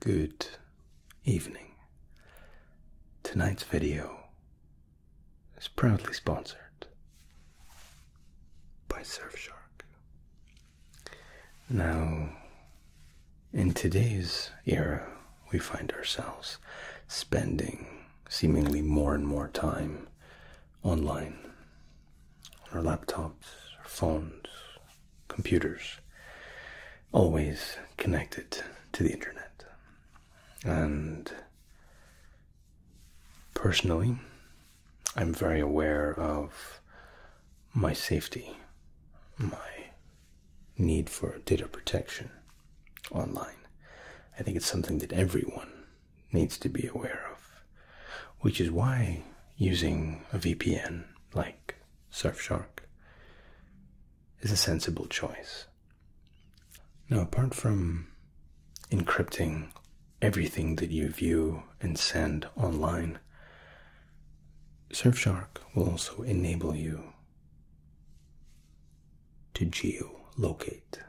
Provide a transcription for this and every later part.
Good evening. Tonight's video is proudly sponsored by Surfshark. Now, in today's era, we find ourselves spending seemingly more and more time online on our laptops, our phones, computers, always connected to the internet. And personally, I'm very aware of my safety, my need for data protection online. I think it's something that everyone needs to be aware of, which is why using a VPN like Surfshark is a sensible choice. Now, apart from encrypting everything that you view and send online, Surfshark will also enable you to geolocate,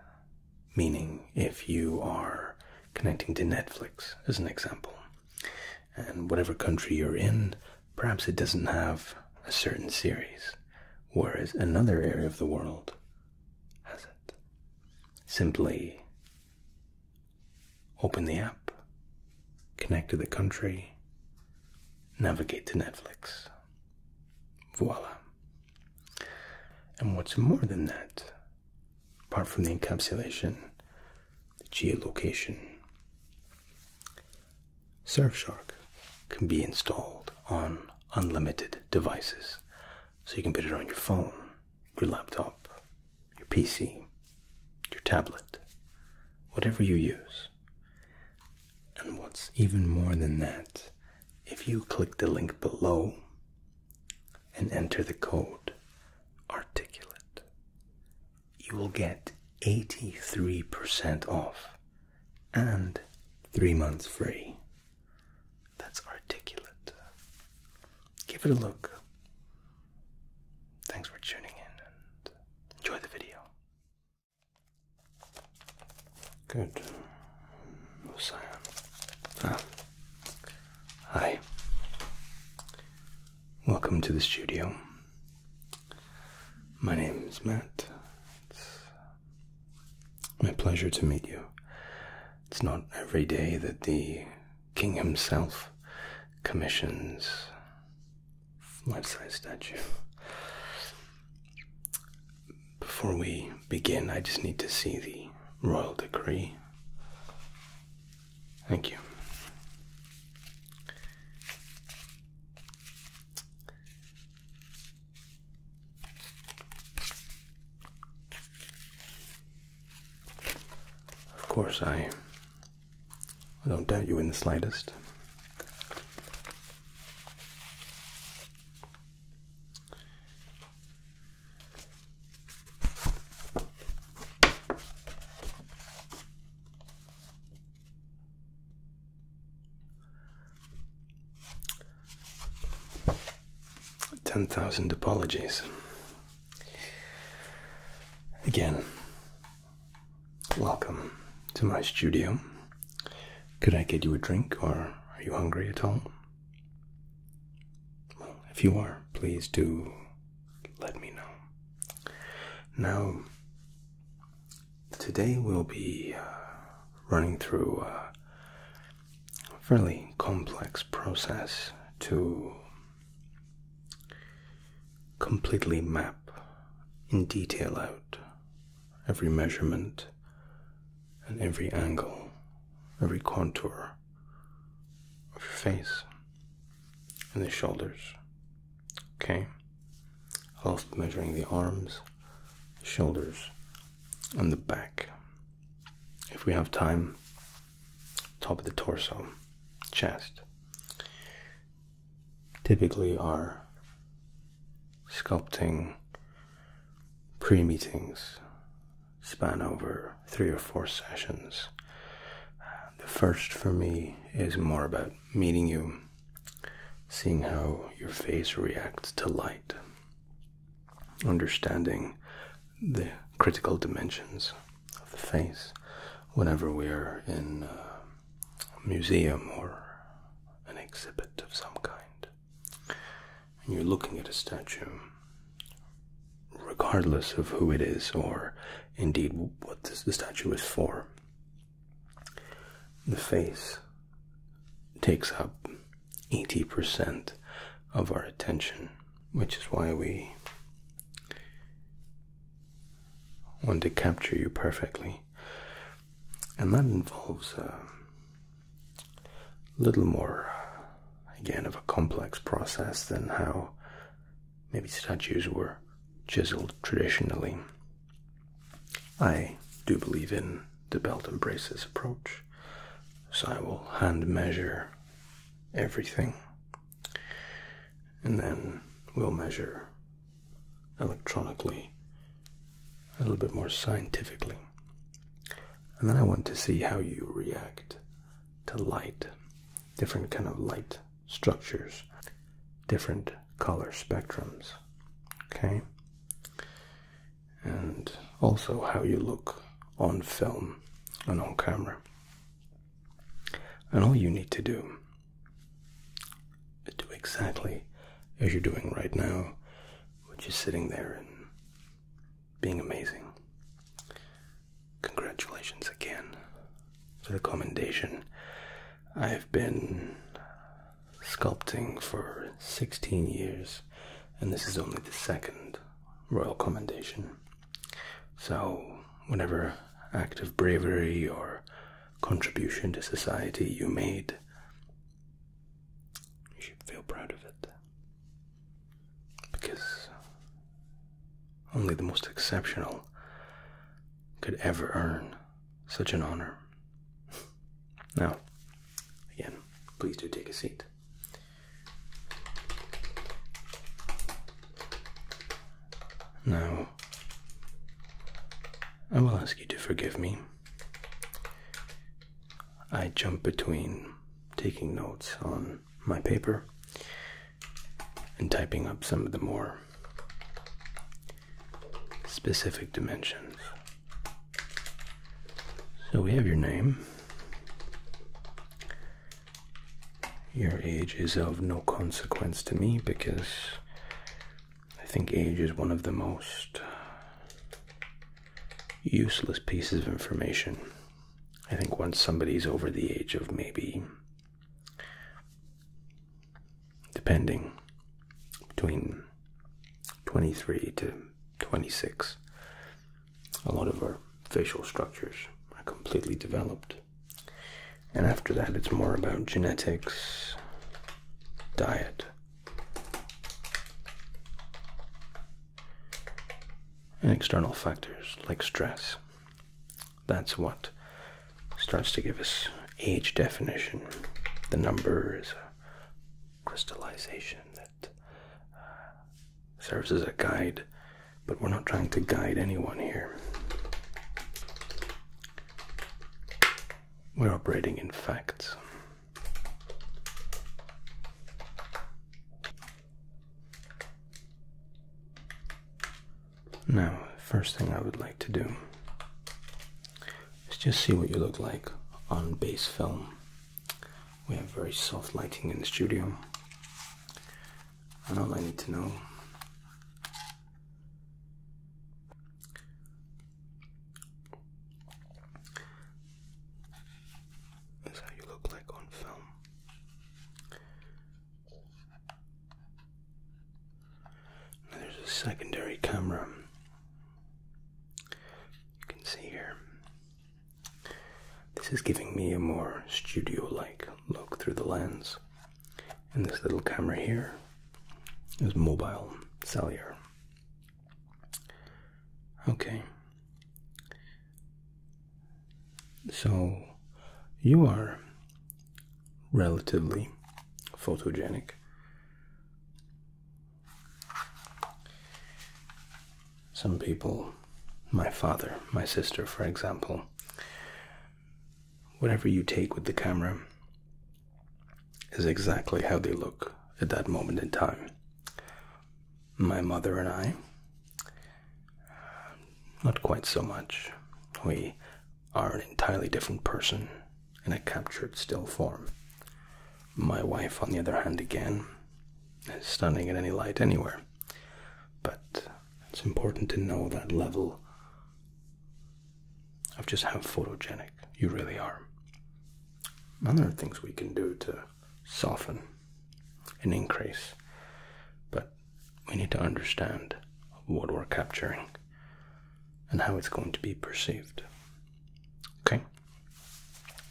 meaning if you are connecting to Netflix, as an example, and whatever country you're in, perhaps it doesn't have a certain series, whereas another area of the world has it. Simply open the app, connect to the country, navigate to Netflix. Voila. And what's more than that, apart from the encapsulation, the geolocation. Surfshark can be installed on unlimited devices. So you can put it on your phone, your laptop, your PC, your tablet, whatever you use. And what's even more than that, if you click the link below and enter the code articulate, you will get 83% off and three months free. That's articulate. Give it a look. Thanks for tuning in and enjoy the video. Good. Who's ah. Hi. Welcome to the studio. My name is Matt. It's my pleasure to meet you. It's not every day that the king himself commissions life-size statue. Before we begin, I just need to see the royal decree. Thank you. Of course, I, I don't doubt you in the slightest. Ten thousand apologies. Again, welcome to my studio. Could I get you a drink or are you hungry at all? if you are, please do let me know. Now, today we'll be uh, running through a fairly complex process to completely map in detail out every measurement and every angle, every contour of your face and the shoulders. Okay? i also measuring the arms, shoulders, and the back. If we have time, top of the torso, chest. Typically, our sculpting pre meetings span over three or four sessions. the first for me is more about meeting you, seeing how your face reacts to light, understanding the critical dimensions of the face whenever we are in a museum or an exhibit of some kind. And you're looking at a statue regardless of who it is or indeed what the statue is for. The face takes up 80% of our attention, which is why we want to capture you perfectly. And that involves a little more, again, of a complex process than how Maybe statues were chiseled traditionally. I do believe in the belt and braces approach, so I will hand measure everything and then we'll measure electronically a little bit more scientifically. And then I want to see how you react to light different kind of light structures, different color spectrums. Okay? And also how you look on film and on camera. And all you need to do is do exactly as you're doing right now, which is sitting there and being amazing congratulations again for the commendation. I've been sculpting for 16 years, and this is only the second royal commendation. So, whatever act of bravery or contribution to society you made, you should feel proud of it because only the most exceptional could ever earn such an honor. Now, again, please do take a seat. Now, I will ask you to forgive me. I jump between taking notes on my paper and typing up some of the more specific dimensions. So we have your name. Your age is of no consequence to me because I think age is one of the most useless pieces of information I think once somebody's over the age of maybe, depending, between 23 to 26, a lot of our facial structures are completely developed. And after that, it's more about genetics, diet. And external factors like stress that's what starts to give us age definition. The number is a crystallization that uh, serves as a guide, but we're not trying to guide anyone here. We're operating in facts. Now, first thing I would like to do is just see what you look like on base film. We have very soft lighting in the studio. And all I need to know is how you look like on film there's a secondary camera. You can see here. This is giving me a more studio like look through the lens. And this little camera here is mobile cellular. Okay. So you are relatively photogenic. Some people, my father, my sister, for example, whatever you take with the camera is exactly how they look at that moment in time my mother and I. Not quite so much. We are an entirely different person in a captured still form. My wife, on the other hand, again, is stunning in any light anywhere. But it's important to know that level of just how photogenic you really are. And there are things we can do to soften and increase. But we need to understand what we're capturing and how it's going to be perceived. Okay?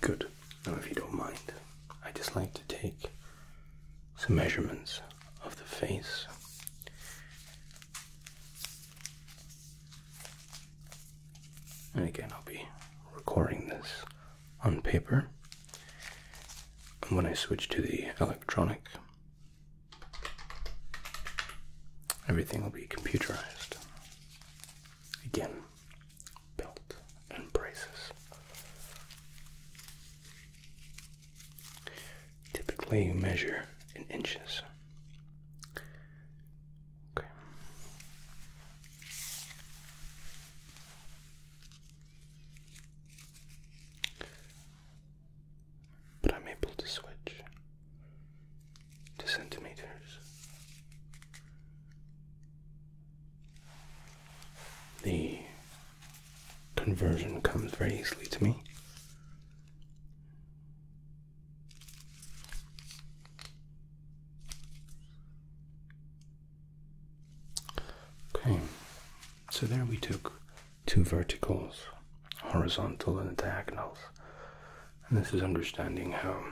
Good. Now, if you don't mind, I just like to take some measurements of the face. And again, I'll be recording this on paper. And when I switch to the electronic, everything will be computerized. Again, belt and braces. Typically, you measure in inches. Okay. But I'm able to switch to centimeters. The conversion comes very easily to me. Okay, so there we took two verticals, horizontal and diagonals. And this is understanding how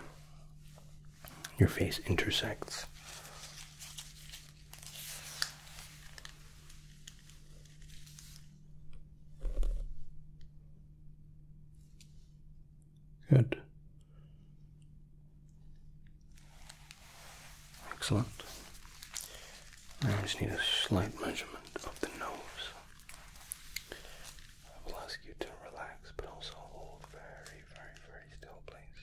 your face intersects. Good. Excellent. I just need a slight measurement of the nose. I will ask you to relax, but also hold very, very, very still, please.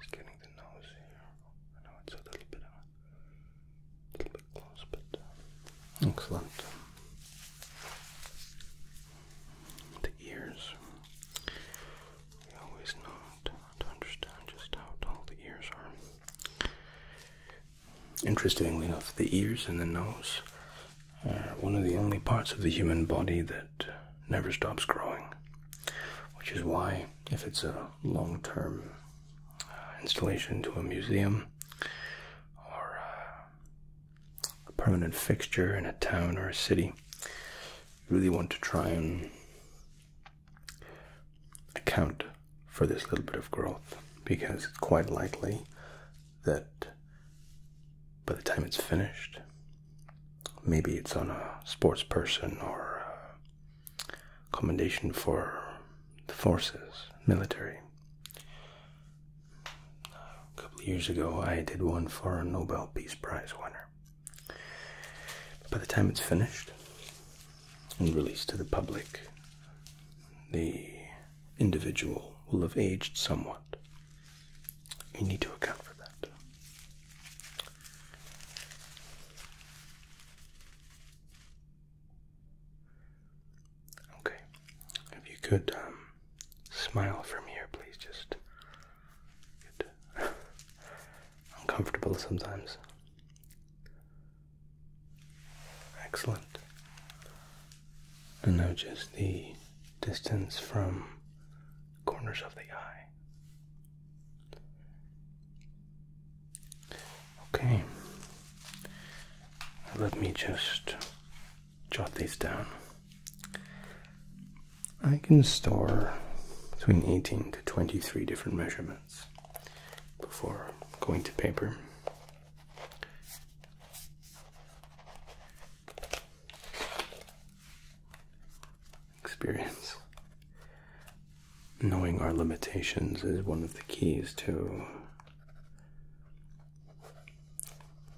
Just getting the nose here. I know it's a little bit, a uh, little bit close, but uh, excellent. The ears. We always know to understand just how tall the ears are. Interestingly enough, the ears and the nose are one of the only parts of the human body that never stops growing, which is why, if it's a long term uh, installation to a museum or a permanent fixture in a town or a city, really want to try and account for this little bit of growth because it's quite likely that by the time it's finished, maybe it's on a sports person or commendation for the forces, military. A couple of years ago, I did one for a Nobel Peace Prize winner. By the time it's finished and released to the public, the individual will have aged somewhat. We need to account for that. Okay, if you could um, smile from here, please just Good. Uncomfortable sometimes. Excellent. And now just the distance from corners of the eye. Okay. Let me just jot these down. I can store between 18 to 23 different measurements before going to paper. Experience. Knowing our limitations is one of the keys to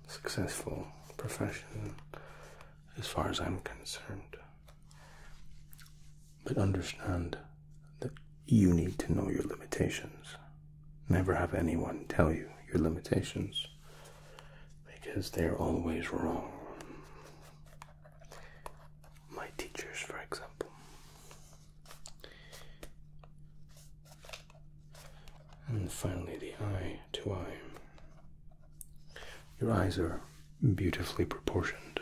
successful profession as far as I'm concerned. But understand that you need to know your limitations. Never have anyone tell you your limitations because they're always wrong. My teachers, for example. And finally, the eye to eye. Your eyes are beautifully proportioned.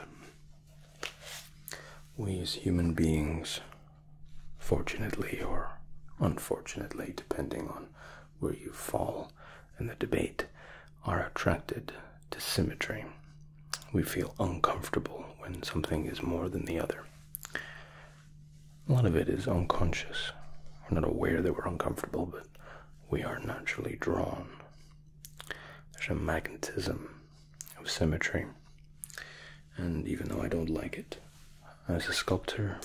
We as human beings, fortunately or unfortunately, depending on where you fall in the debate, are attracted to symmetry. We feel uncomfortable when something is more than the other. A lot of it is unconscious. We're not aware that we're uncomfortable, but we are naturally drawn. There's a magnetism of symmetry, and even though I don't like it, as a sculptor,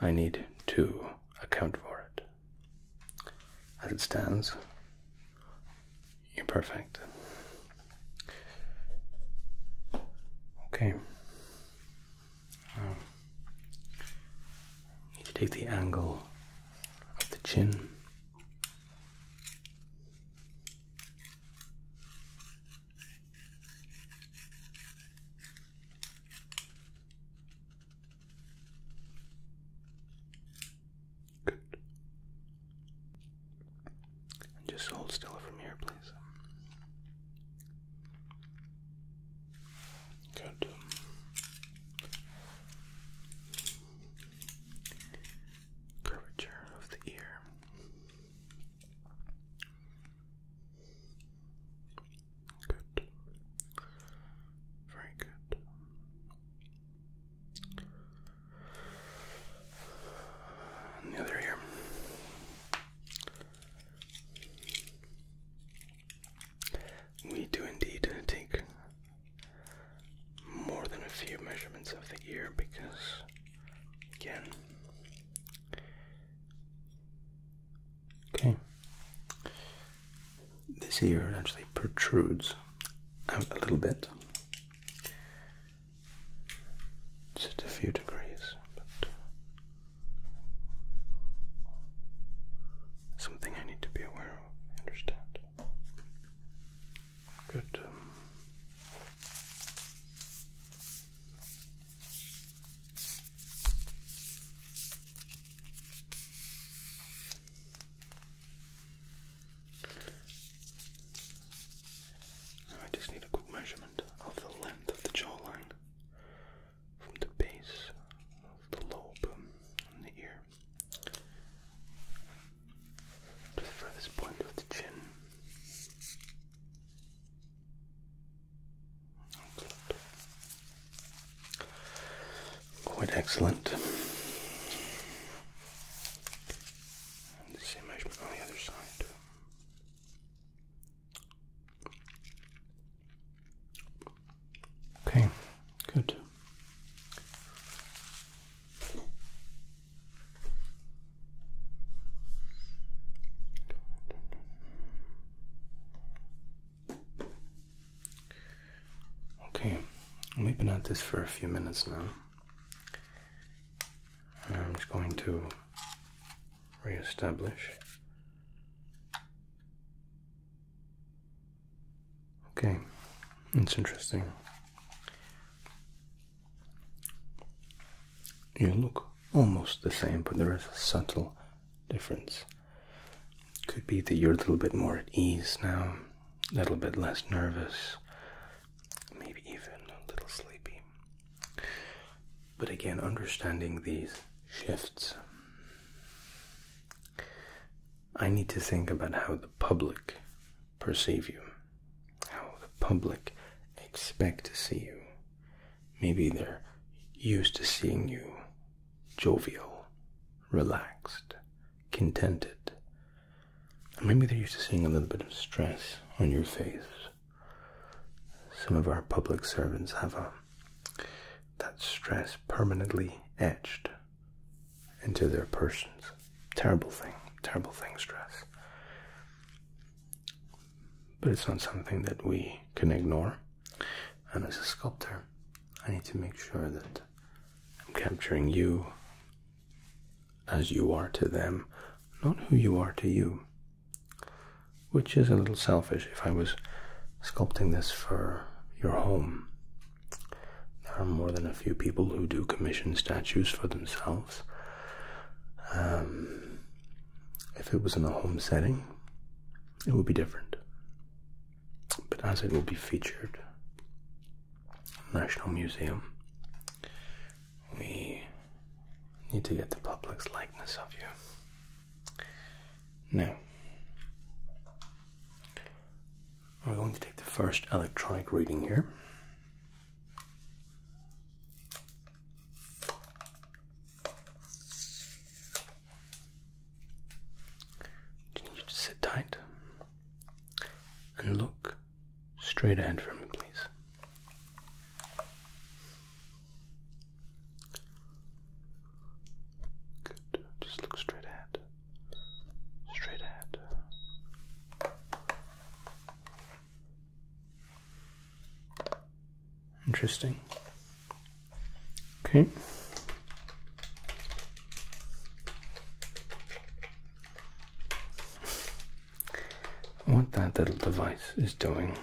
I need to account for it. As it stands, you're perfect. Okay. Oh. Need to take the angle of the chin. Good. just hold still from here, please. Good. Curvature of the ear. Good. Very good. the other ear. We do indeed take more than a few measurements of the ear because, again, okay, this ear actually protrudes out a little bit, just a few degrees, Something I need to be aware of, I understand. Good. Um, I just need a quick measurement of the length of the jawline from the base of the lobe on the ear to the furthest point of the chin. Quite excellent. same measurement on the other side. Okay, good. Okay, we've been at this for a few minutes now. I'm just going to Re-establish. Okay, it's interesting. You look almost the same, but there is a subtle difference. Could be that you're a little bit more at ease now, a little bit less nervous, maybe even a little sleepy. But again, understanding these shifts, I need to think about how the public perceive you, how the public expect to see you. Maybe they're used to seeing you jovial, relaxed, contented. maybe they're used to seeing a little bit of stress on your face. Some of our public servants have a that stress permanently etched into their persons. Terrible thing, terrible thing, stress. But it's not something that we can ignore. And as a sculptor, I need to make sure that I'm capturing you as you are to them, not who you are to you which is a little selfish if I was sculpting this for your home. There are more than a few people who do commission statues for themselves. Um, if it was in a home setting, it would be different. But as it will be featured National Museum, we need to get the public's likeness of you. Now, we're going to take the first electronic reading here. Do you need sit tight and look straight ahead for me, please? Just look straight ahead. Straight ahead. Interesting. Okay. What that little device is doing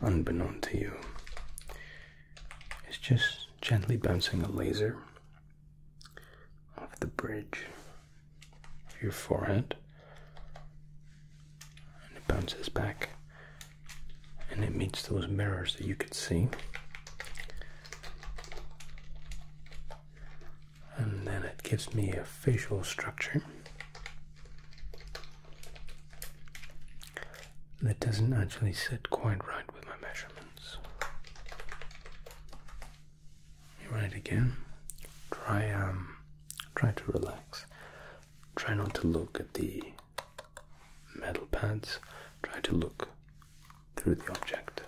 unbeknown to you, is just gently bouncing a laser off the bridge of your forehead. And it bounces back and it meets those mirrors that you can see. And then it gives me a facial structure that doesn't actually sit quite right with my measurements. Right again. Try um try to relax. Try not to look at the metal pads. Try to look through the object.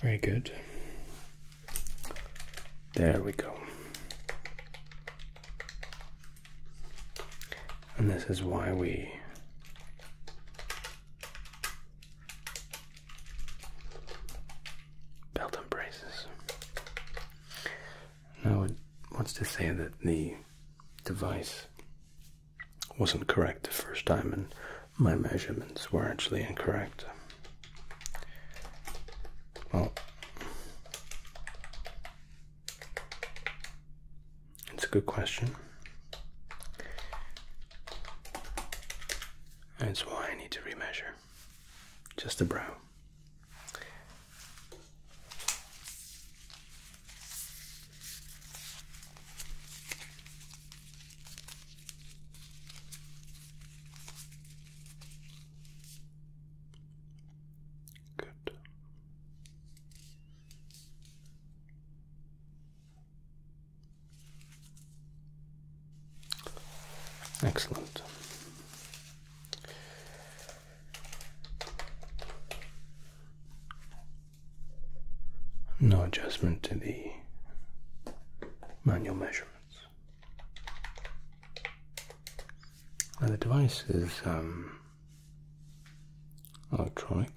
Very good. There we go. And this is why we belt and braces. Now it wants to say that the device wasn't correct the first time and my measurements were actually incorrect. Well, it's a good question. That's why I need to remeasure just a brow. Good. Excellent. No adjustment to the manual measurements. Now the device is um, electronic,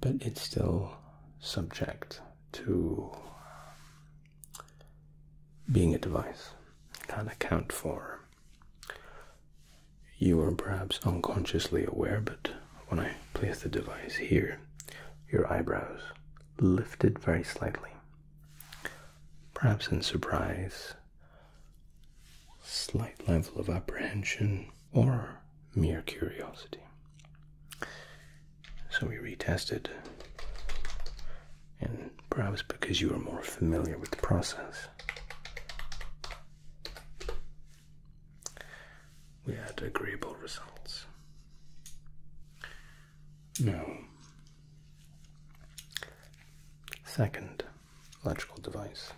but it's still subject to um, being a device. can't account for you were perhaps unconsciously aware, but when I placed the device here, your eyebrows lifted very slightly. Perhaps in surprise, slight level of apprehension, or mere curiosity. So we retested and perhaps because you are more familiar with the process. We had agreeable results. No. second electrical device.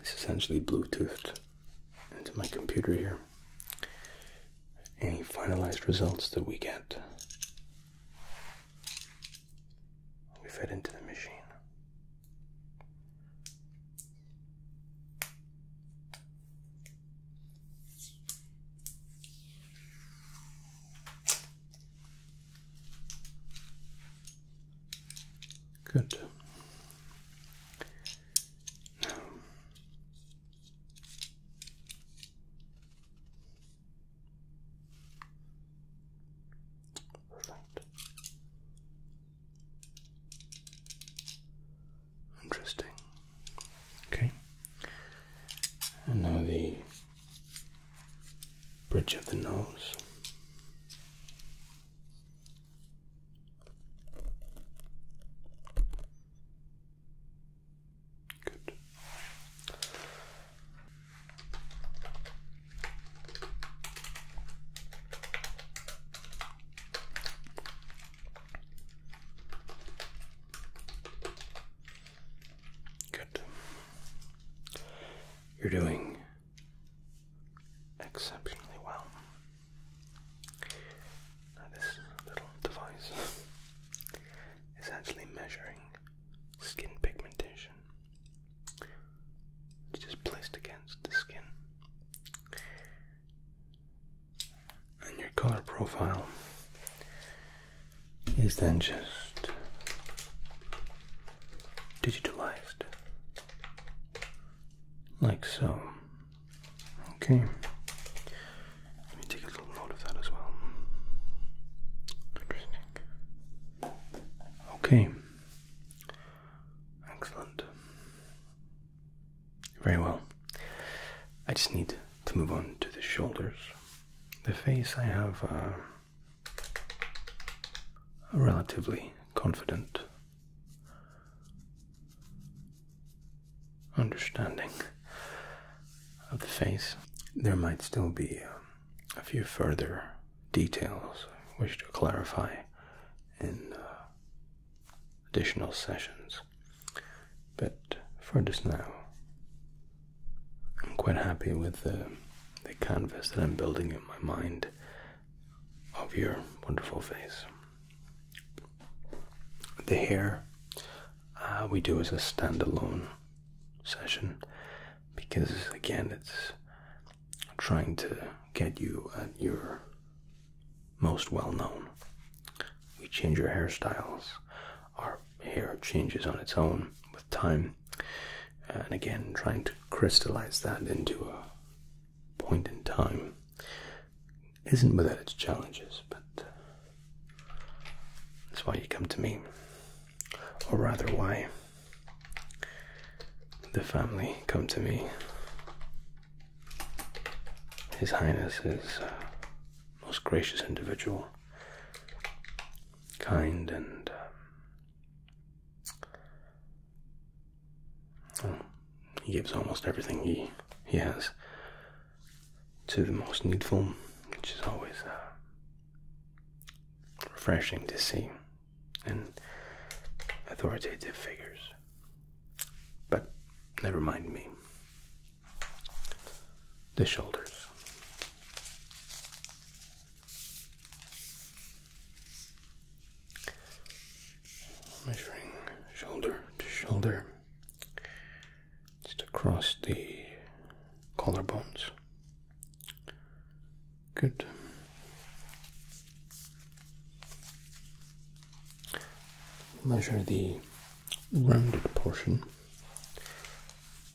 It's essentially Bluetoothed into my computer here. Any finalized results that we get we fed into the machine. Good. Perfect. Interesting. Okay. And now the bridge of the nose. Good. Good. You're doing exceptionally well. Now, this little device is actually measuring skin pigmentation. It's just placed against the skin. And your color profile is then just digitalized like so. Okay. Let me take a little note of that as well. Okay. Excellent. Very well. I just need to move on to the shoulders. The face, I have uh, a relatively confident understanding of the face. There might still be um, a few further details I wish to clarify in uh, additional sessions, but for just now, I'm quite happy with the canvas that I'm building in my mind of your wonderful face. The hair, uh, we do as a standalone session because again it's trying to get you at your most well known. We change your hairstyles, our hair changes on its own with time, and again trying to crystallize that into a point in time isn't without its challenges, but uh, that's why you come to me or rather why the family come to me. His Highness is a most gracious individual, kind and um, oh, he gives almost everything he he has to the most needful, which is always uh, refreshing to see and authoritative figures. But never mind me. The shoulders. Measuring shoulder to shoulder just across the collarbones. Good. Measure the rounded portion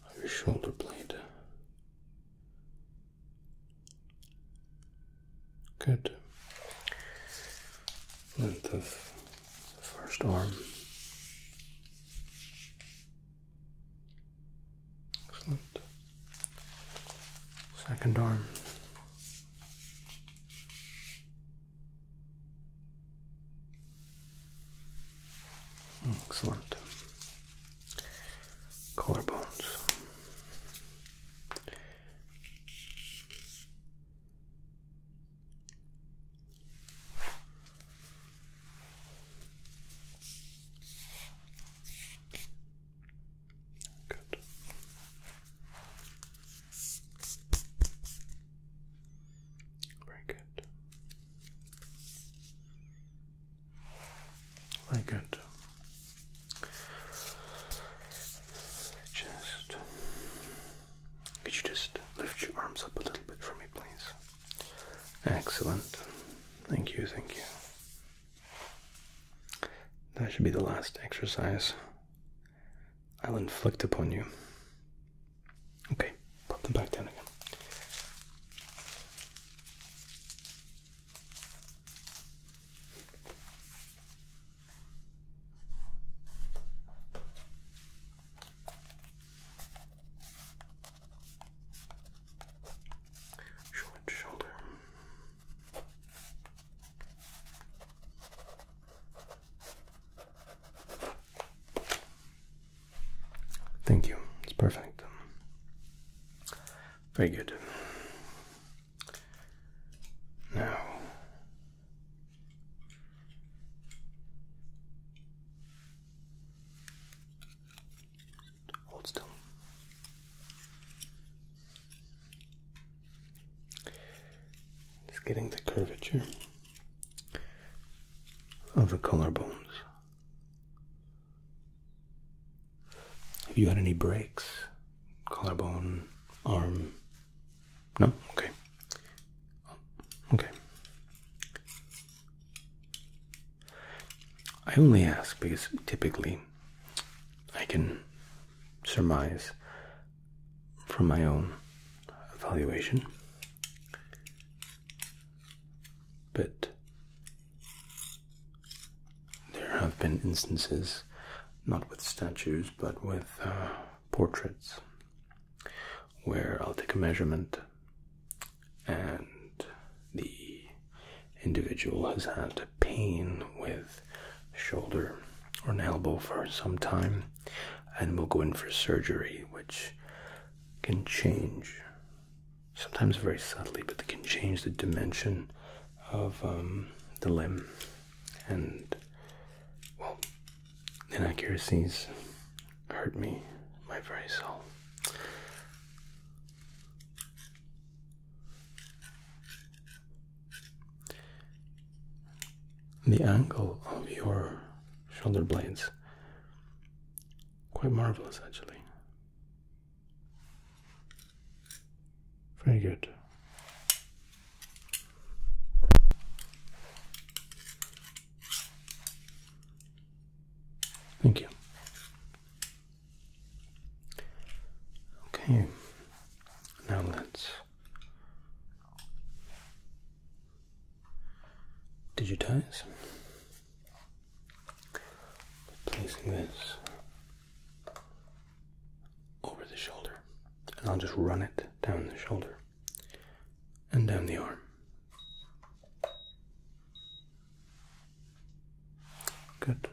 of your shoulder blade. Good. Length of the first arm. Excellent. Second arm. Excellent. Collarbones. Good. Very good. Very good. Just could you just lift your arms up a little bit for me, please? Excellent. Thank you, thank you. That should be the last exercise I'll inflict upon you. Okay, pop them back down again. Short shoulder. Thank you. It's perfect. Very good. Now, Hold still. It's getting the curvature of the collarbones. Have you had any breaks? Collarbone, arm? No? Okay. Okay. I only ask because typically I can surmise from my own evaluation. But there have been instances, not with statues, but with uh, portraits, where I'll take a measurement and the individual has had pain with shoulder or an elbow for some time and will go in for surgery which can change sometimes very subtly but it can change the dimension of um, the limb and well inaccuracies hurt me, my very soul. The angle of your shoulder blades quite marvelous actually. Very good. Thank you. Okay, now let's. Digitize. Placing this over the shoulder, and I'll just run it down the shoulder and down the arm. Good.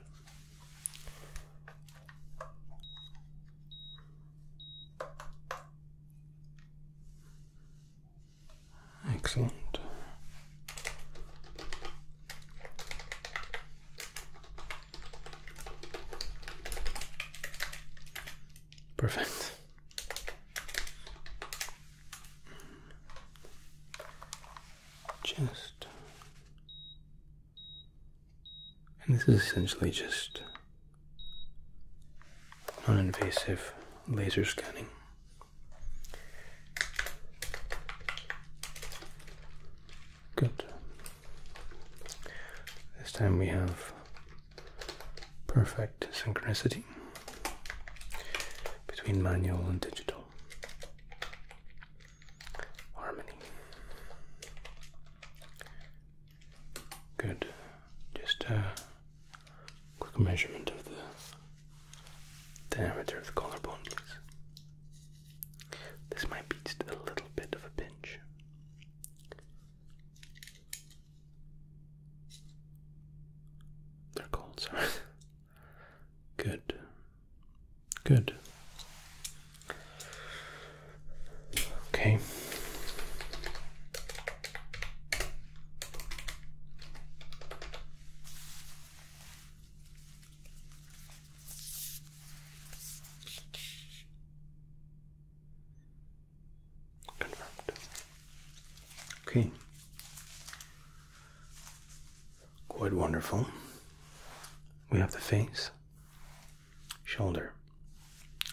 Excellent. Perfect. Just. And this is essentially just non invasive laser scanning. Good. This time we have perfect synchronicity between manual and digital harmony. Good. Just a quick measurement of the diameter of the collarbone, please. This might be a little bit of a pinch. They're cold, sorry. Good. Good. Okay. Confirmed. Okay. Quite wonderful. We have the face, shoulder,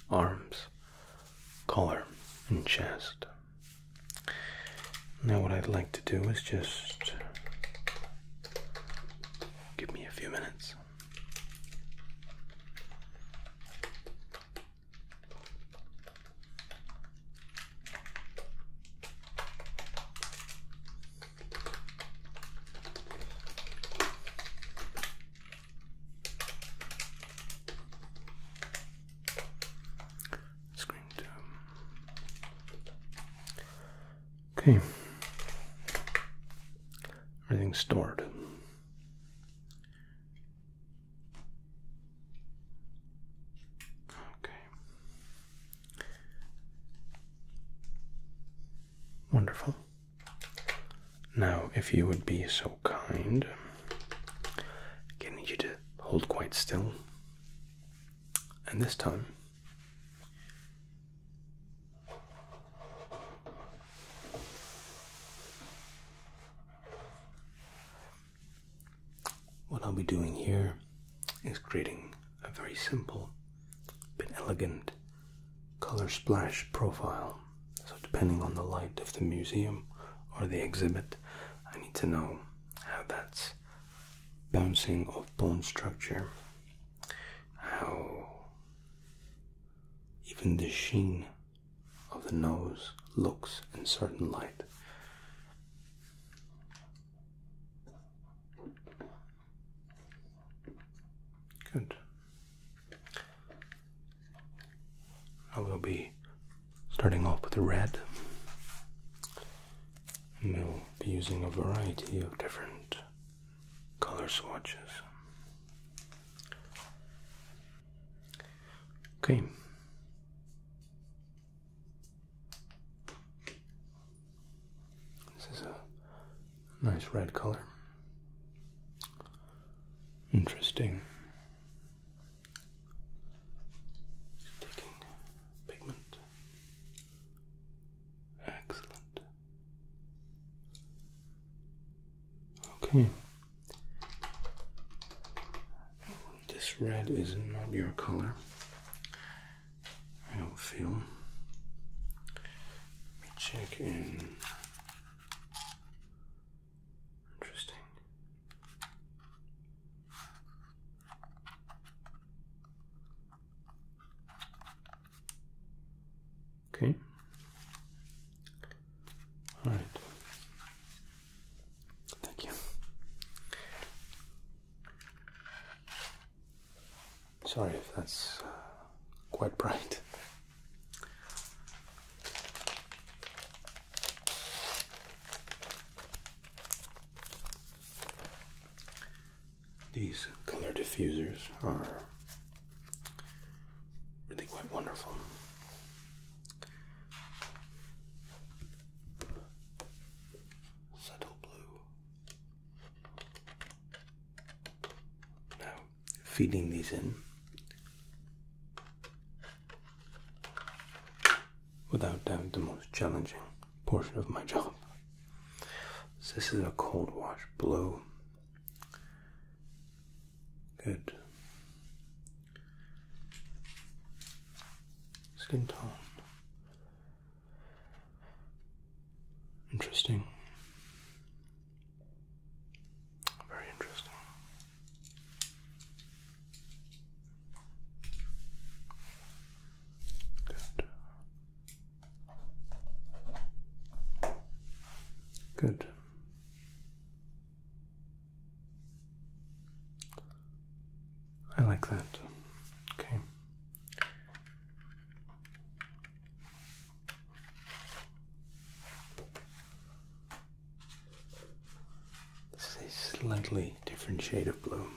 arms, collar, and chest. Now, what I'd like to do is just give me a few minutes. It's going um, Okay. Everything's stored. Okay. Wonderful. Now, if you would be so kind, I need you to hold quite still. And this time, what I'll be doing here is creating a very simple but elegant color splash profile. So, depending on the light of the museum or the exhibit, I need to know how that's bouncing off bone structure, how even the sheen of the nose looks in certain light. Good. I will be starting off with the red, and we'll be using a variety of different color swatches. Okay. This is a nice red color. Interesting. Taking pigment. Excellent. Okay. Oh, this red is not your color. I don't feel. Let me check in. Interesting. Okay. All right. Thank you. Sorry if that's uh, quite bright. These color diffusers are really quite wonderful. Subtle blue. Now, feeding these in without doubt the most challenging portion of my job. this is a cold wash blue. Good. Skin tone. Interesting. Very interesting. Good. Good. I like that. Okay. This is a slightly different shade of blue.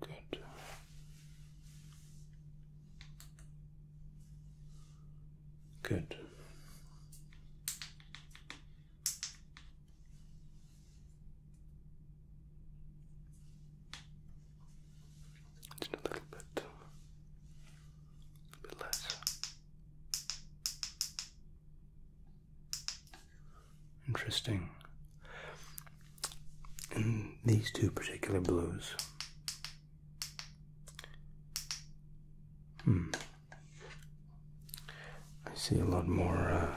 Good. Good. Just a little bit, a bit less. Interesting. And these two particular blues. Hmm. I see a lot more uh,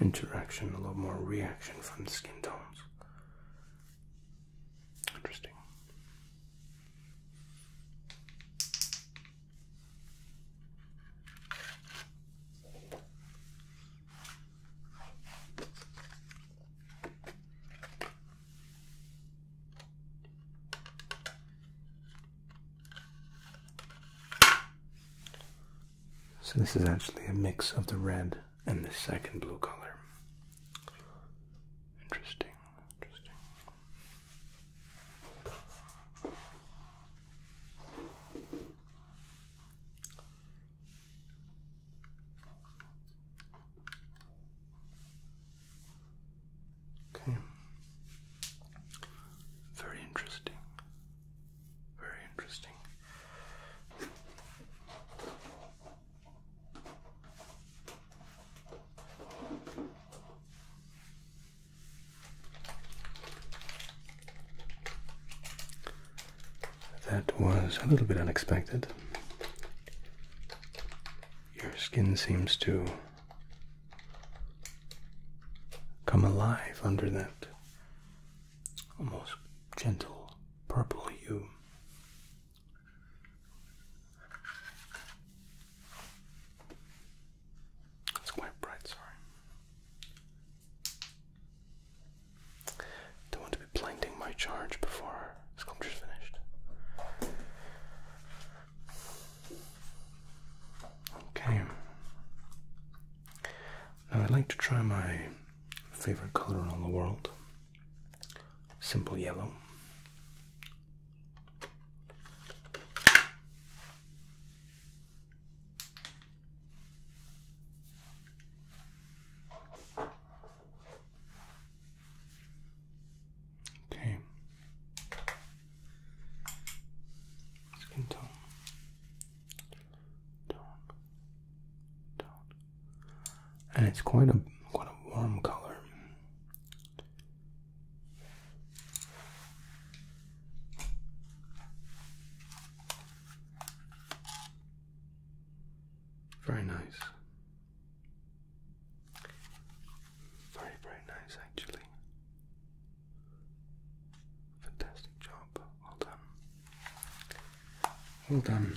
interaction, a lot more reaction from the skin tones. Interesting. So this is actually a mix of the red and the second blue color. Interesting, interesting. Okay. Very interesting. Very interesting. That was a little bit unexpected. Your skin seems to come alive under that almost gentle purple hue. It's quite bright, sorry. Don't want to be blinding my charge before sculpture's finished. Okay. Now I'd like to try my favorite color in the world. Simple yellow. Okay. Skin tone. Tone. Tone. And it's quite a quite a warm color. Very nice. Very, very nice, actually. Fantastic job. Well done. Well done.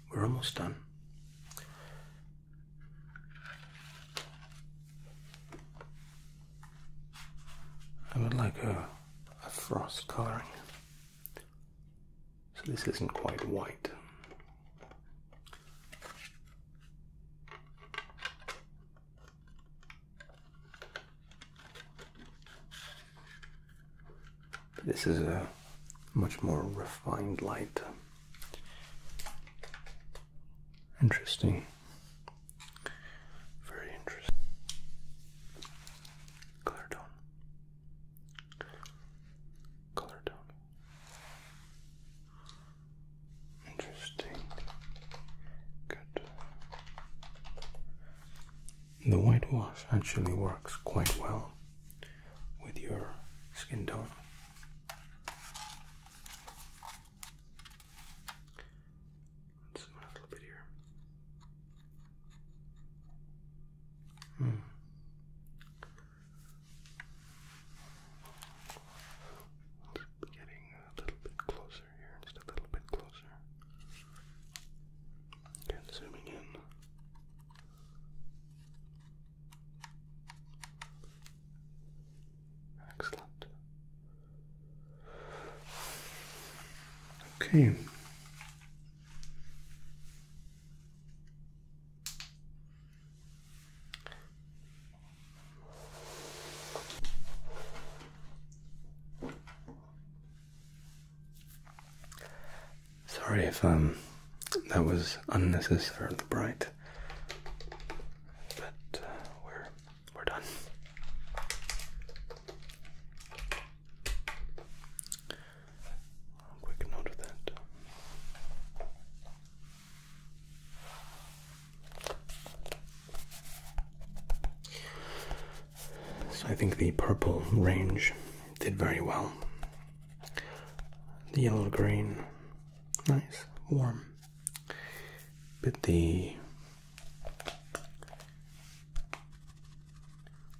We're almost done. I would like a, frost coloring. So this isn't quite white. This is a much more refined light. Interesting. Very interesting. Color tone. Color tone. Interesting. Good the whitewash actually works quite well with your skin tone. zoom a little bit here. Hmm. getting a little bit closer here, just a little bit closer. zooming in. Excellent. Okay. Sorry if um that was unnecessarily bright, but uh, we're we're done. quick note of that. So I think the purple range did very well. The yellow green, nice, warm. But the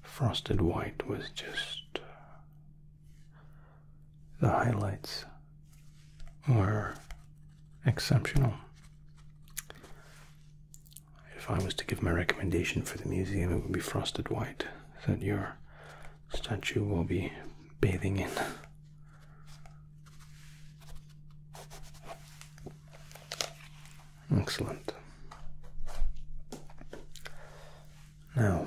frosted white was just the highlights were exceptional. If I was to give my recommendation for the museum, it would be frosted white that your statue will be bathing in. Excellent. Now,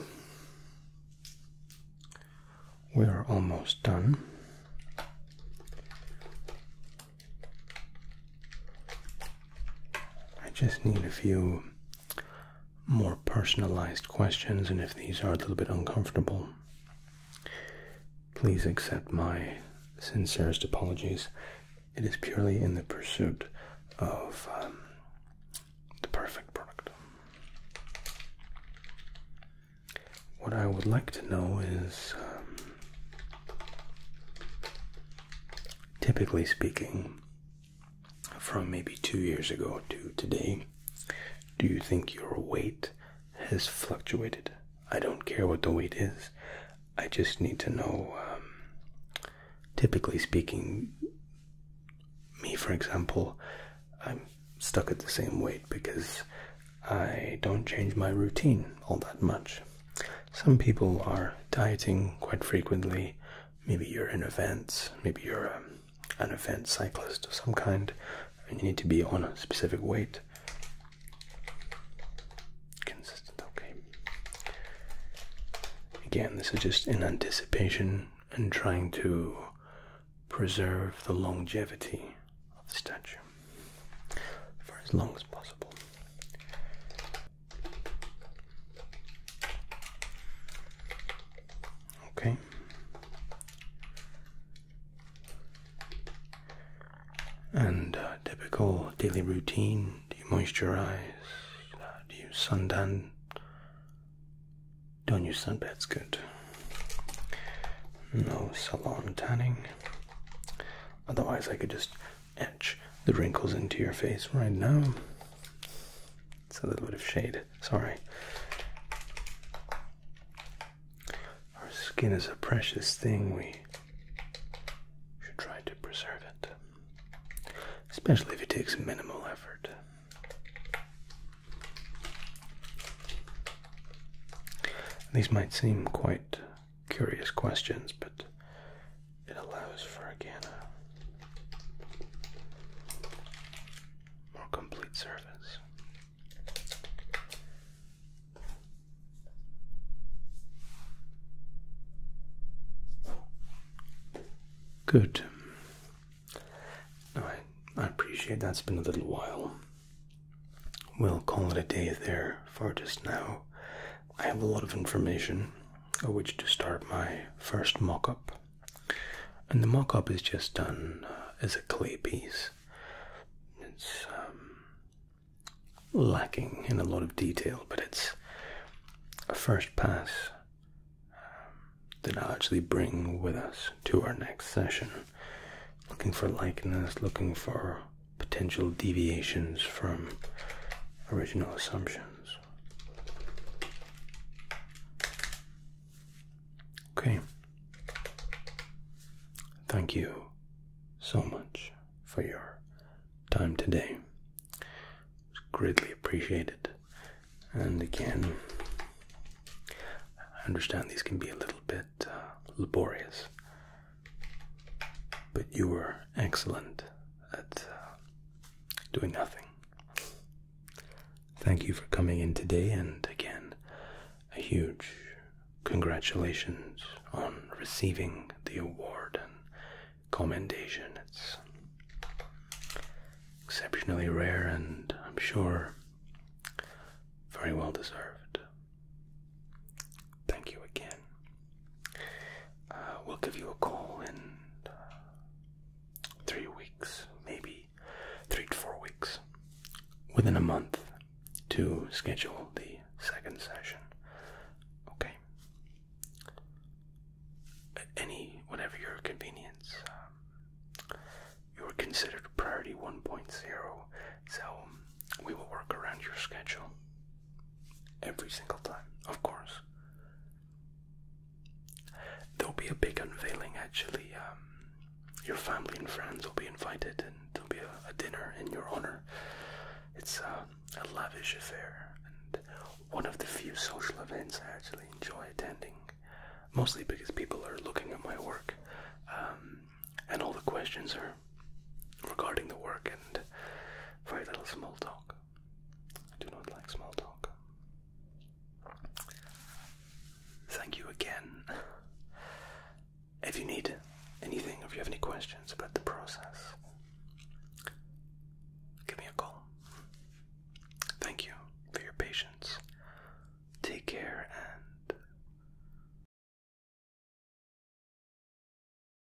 we are almost done. I just need a few more personalized questions, and if these are a little bit uncomfortable, please accept my sincerest apologies. It is purely in the pursuit of um, the perfect product. What I would like to know is um, typically speaking, from maybe two years ago to today, do you think your weight has fluctuated? I don't care what the weight is. I just need to know, um, typically speaking, me, for example, I'm stuck at the same weight because I don't change my routine all that much some people are dieting quite frequently. Maybe you're in events, maybe you're um, an event cyclist of some kind, and you need to be on a specific weight. Consistent, okay. Again, this is just in anticipation and trying to preserve the longevity of the statue for as long as possible. Okay. And uh, typical daily routine do you moisturize? Uh, do you suntan? Don't use sunbeds, good. No salon tanning. Otherwise, I could just etch the wrinkles into your face right now. It's a little bit of shade, sorry. Our skin is a precious thing. We should try to preserve it, especially if it takes minimal effort. These might seem quite curious questions, but it allows for, again, a more complete service. Good. I, I appreciate that's been a little while. We'll call it a day there for just now. I have a lot of information which to start my first mock up. And the mock up is just done uh, as a clay piece. It's um, lacking in a lot of detail, but it's a first pass um, that I'll actually bring with us to our next session. Looking for likeness, looking for potential deviations from original assumptions. Okay. Thank you so much for your time today. It's greatly appreciated. And again, I understand these can be a little bit uh, laborious, but you were excellent at uh, doing nothing. Thank you for coming in today, and again, a huge congratulations on receiving the award and commendation. It's exceptionally rare, and I'm sure very well deserved thank you again. Uh, we'll give you a call in uh, three weeks, maybe three to four weeks, within a month, to schedule the second session. Okay. Any, whatever your convenience. Um, you're considered priority 1.0, so we will work around your schedule. Every single time, of course. There'll be a big unveiling actually. Um, your family and friends will be invited, and there'll be a, dinner in your honor. It's uh, a lavish affair, and one of the few social events I actually enjoy attending. Mostly because people are looking at my work, um, and all the questions are regarding the work and very little small talk. I do not like small talk. Thank you again. If you need anything, if you have any questions about the process, give me a call. Thank you for your patience. Take care and.